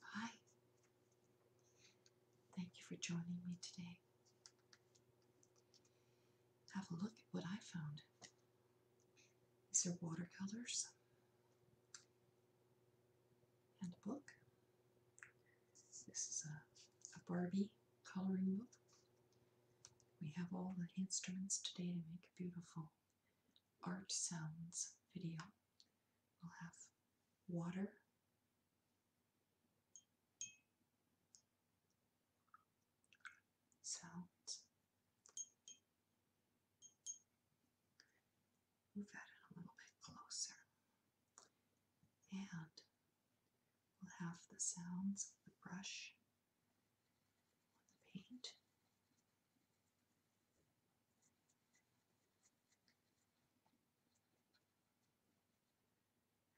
Hi. Thank you for joining me today. Have a look at what I found. These are watercolors and a book this is a, a Barbie coloring book. We have all the instruments today to make a beautiful art sounds video. We'll have water, sounds. Move that in a little bit closer. And Half the sounds of the brush on the paint.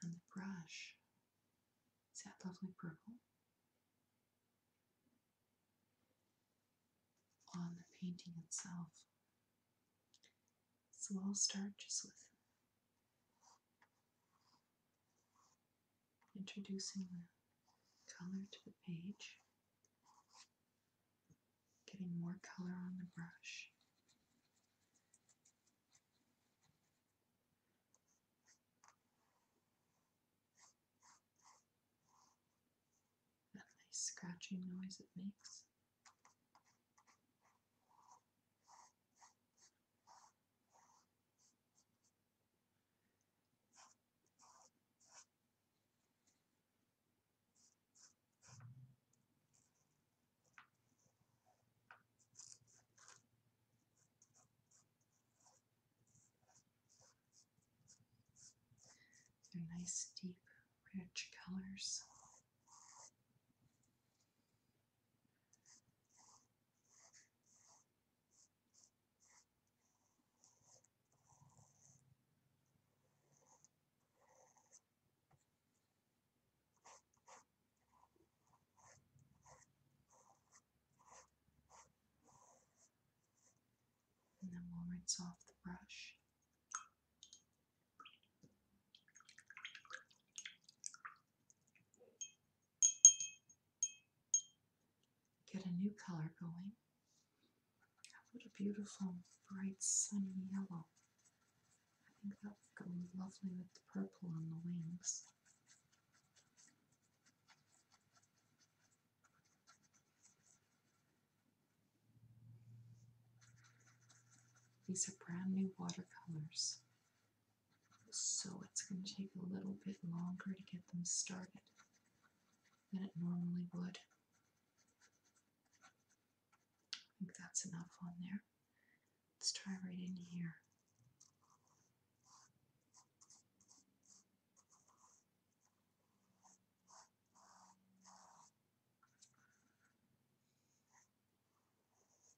And the brush, is that lovely purple? On the painting itself. So I'll start just with Introducing the color to the page, getting more color on the brush. That nice scratching noise it makes. They're nice, deep, rich colors. And then we'll rinse off the brush. Get a new color going. What a beautiful, bright, sunny yellow. I think that would go lovely with the purple on the wings. These are brand new watercolors so it's going to take a little bit longer to get them started than it normally would. I think that's enough on there. Let's try right in here.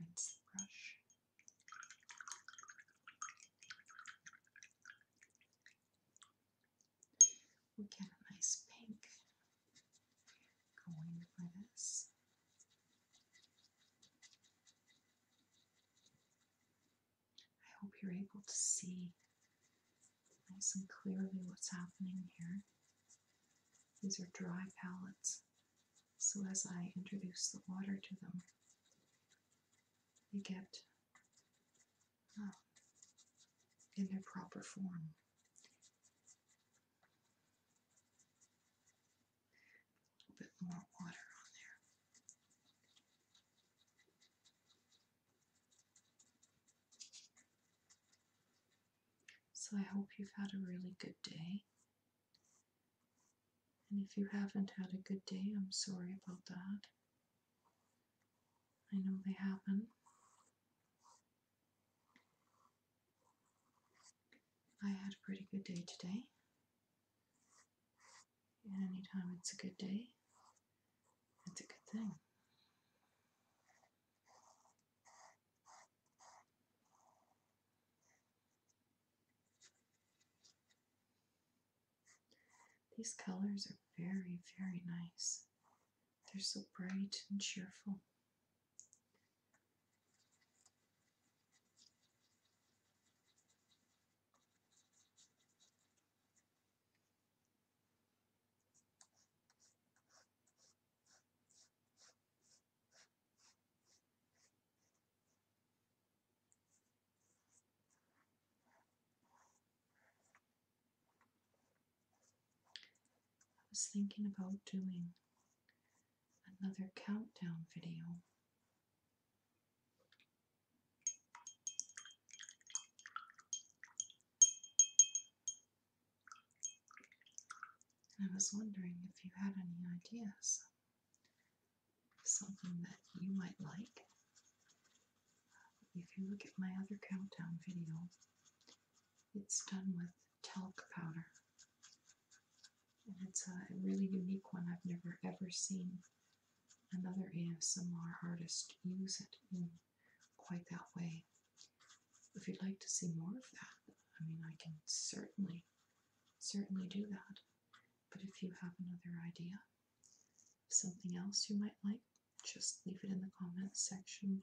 Rinse the brush. We get a nice pink going for this. I hope you're able to see nice and clearly what's happening here. These are dry palettes, so as I introduce the water to them, they get um, in their proper form. A bit more water on there. So I hope you've had a really good day. And if you haven't had a good day, I'm sorry about that. I know they happen. I had a pretty good day today anytime it's a good day, it's a good thing. These colors are very, very nice. They're so bright and cheerful. I was thinking about doing another countdown video and I was wondering if you had any ideas something that you might like. If you look at my other countdown video, it's done with talc powder. And it's a really unique one I've never ever seen Another and other ASMR artists use it in quite that way. If you'd like to see more of that, I mean, I can certainly, certainly do that. But if you have another idea, something else you might like, just leave it in the comments section below.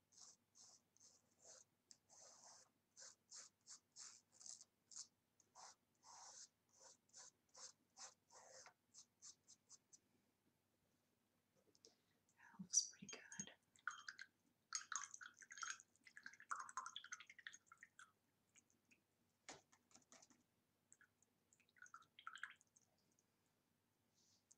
That looks pretty good.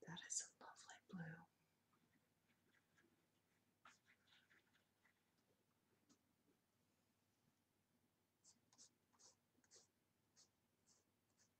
That is a lovely blue.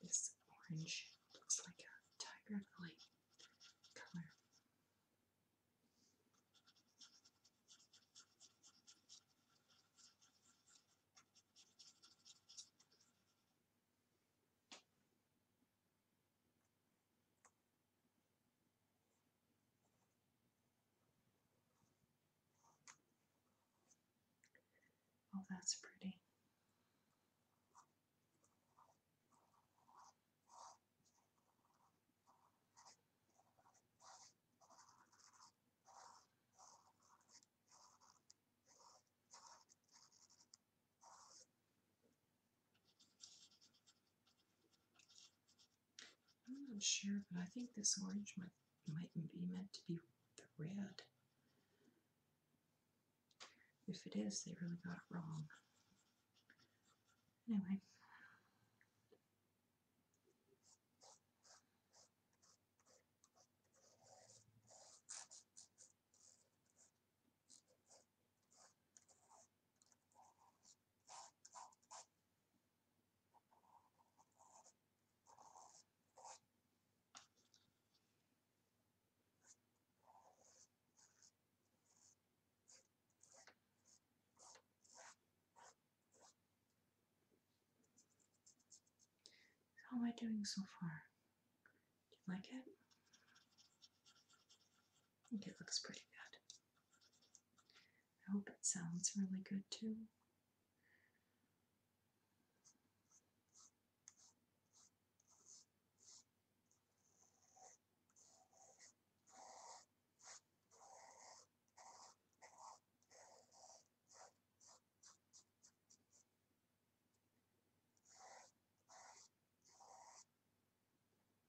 This orange looks like a tiger lily color. Oh, that's pretty. I'm not sure, but I think this orange might might be meant to be the red. If it is, they really got it wrong. Anyway. How am I doing so far? Do you like it? I think it looks pretty good. I hope it sounds really good too.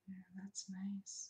Yeah, that's nice.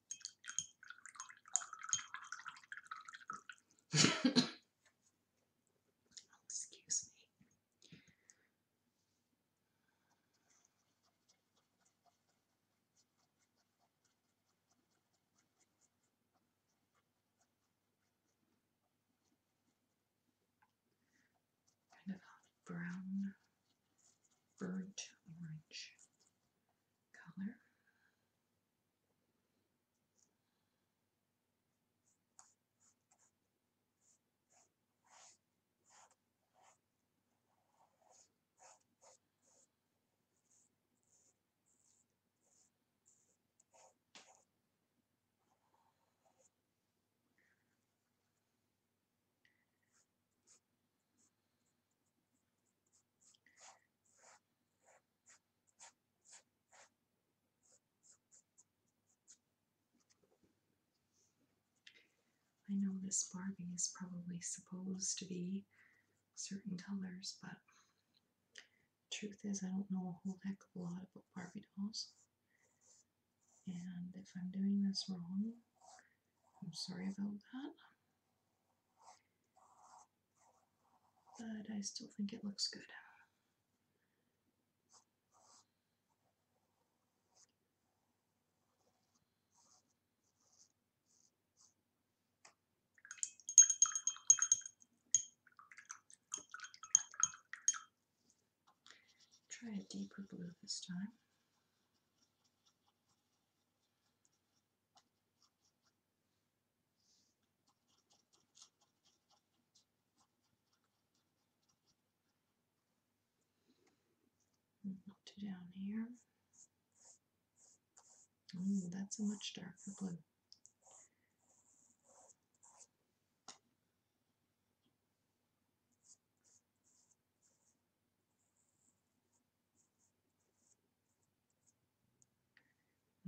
Excuse me. Kind of brown, burnt orange color. I know this Barbie is probably supposed to be certain colors, but truth is I don't know a whole heck of a lot about Barbie dolls. And if I'm doing this wrong, I'm sorry about that. But I still think it looks good. Try a deeper blue this time. Up to down here. Oh, that's a much darker blue.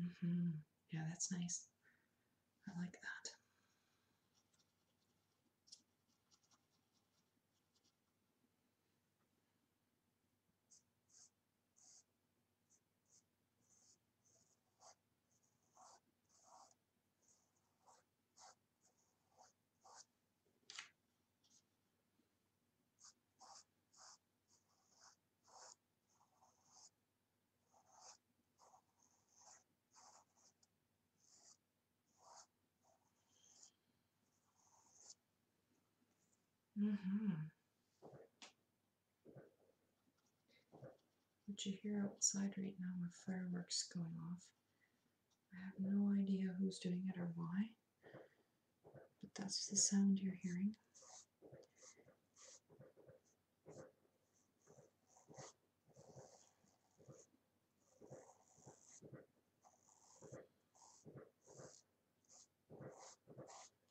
Mm -hmm. Yeah, that's nice. I like that. Mm-hmm. What you hear outside right now with fireworks going off, I have no idea who's doing it or why. But that's the sound you're hearing.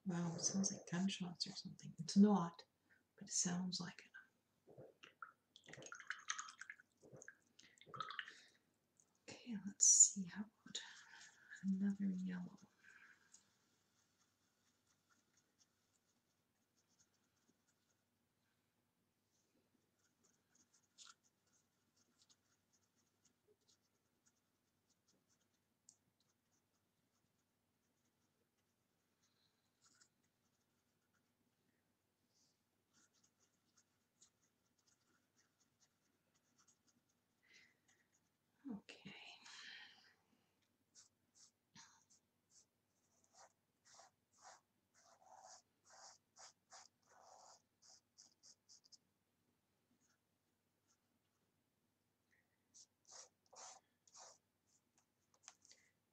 Wow, it sounds like gunshots or something. It's not, but it sounds like it. Okay, let's see how about another yellow. Okay.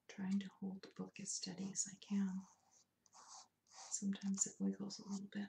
Trying to hold the book as steady as I can. Sometimes it wiggles a little bit.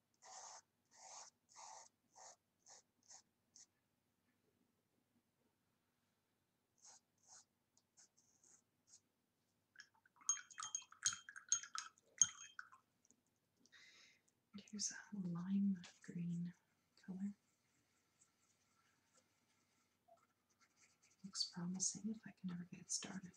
Here's a lime green color. Looks promising if I can ever get it started.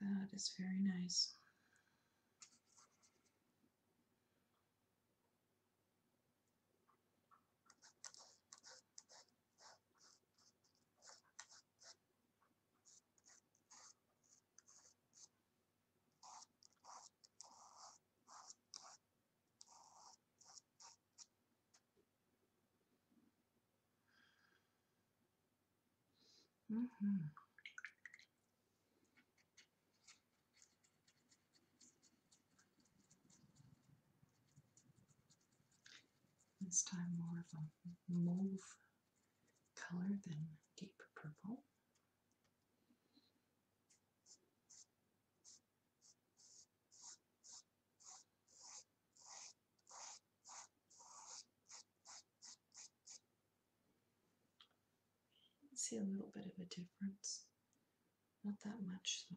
That is very nice. Mm-hmm. This time more of a mauve color than deep purple see a little bit of a difference. Not that much though.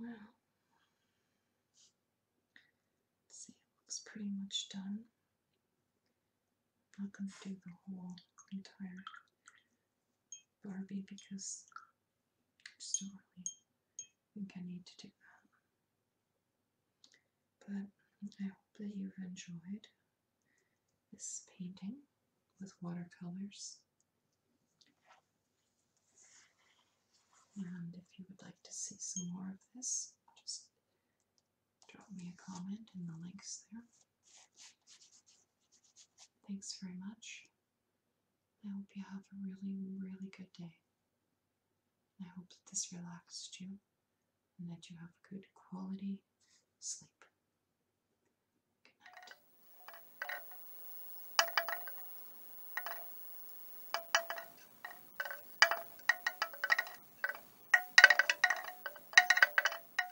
Well, see, it looks pretty much done. I'm not going to do the whole entire Barbie because I just don't really think I need to do that. But I hope that you've enjoyed this painting with watercolors. And if you would like to see some more of this, just drop me a comment in the links there. Thanks very much. I hope you have a really, really good day. I hope that this relaxed you and that you have good quality sleep. Good night.